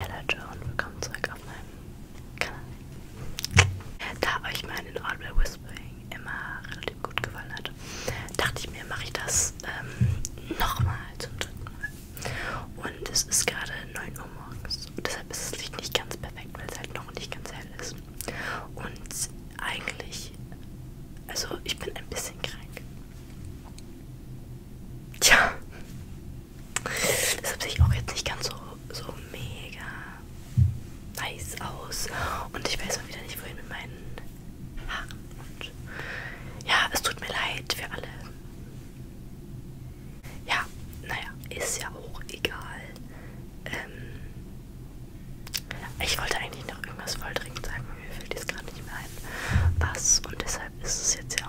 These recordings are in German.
Hey Leute und willkommen zurück auf meinem Kanal. Da euch mein Audible Whispering immer relativ gut gefallen hat, dachte ich mir, mache ich das ähm, nochmal zum dritten Mal. Und es ist gerade 9 Uhr morgens und deshalb ist das Licht nicht ganz perfekt, weil es halt noch nicht ganz hell ist. Und eigentlich, also ich bin ein bisschen krank. Tja, Deshalb sehe ich auch jetzt nicht ganz so, so mega nice aus. Und ich weiß mal wieder nicht, wohin mit meinen Haaren. Und ja, es tut mir leid für alle. Ja, naja, ist ja auch egal. Ähm, ich wollte eigentlich noch irgendwas voll dringend sagen, mir fällt jetzt gerade nicht mehr ein, was. Und deshalb ist es jetzt ja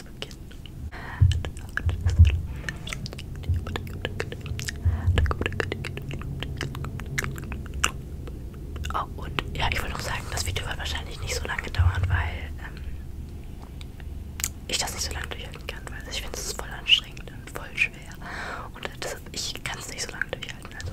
jetzt beginnen. Oh, und ja, ich wollte noch sagen, das Video wird wahrscheinlich nicht so lange dauern, weil ähm, ich das nicht so lange durchhalten kann, weil ich finde, es ist voll anstrengend und voll schwer. Und äh, deshalb, ich kann es nicht so lange durchhalten, also.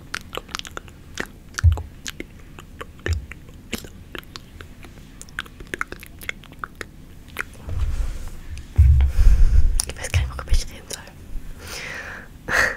Ich weiß gar nicht, worüber ich reden soll. ähm.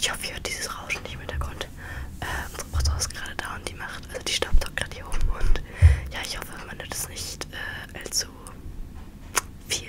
Ich hoffe, ihr hört dieses Rauschen nicht im Hintergrund. Äh, unsere Mutter ist gerade da und die macht, also die staubt gerade hier oben und ja, ich hoffe, man hört es nicht äh, allzu viel.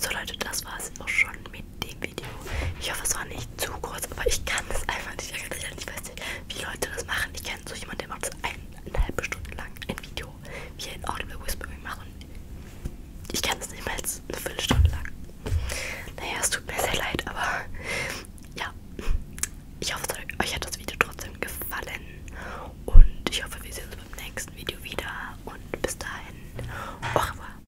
So Leute, das war es auch schon mit dem Video. Ich hoffe, es war nicht zu kurz, aber ich kann das einfach nicht. Ich weiß nicht, wie Leute das machen. Ich kenne so jemanden, der macht das eineinhalb Stunden lang ein Video, wie er ein Audible Whispering macht. Und ich kann das nicht mal als eine Viertelstunde lang. Naja, es tut mir sehr leid, aber ja. Ich hoffe, euch hat das Video trotzdem gefallen. Und ich hoffe, wir sehen uns beim nächsten Video wieder. Und bis dahin, au revoir.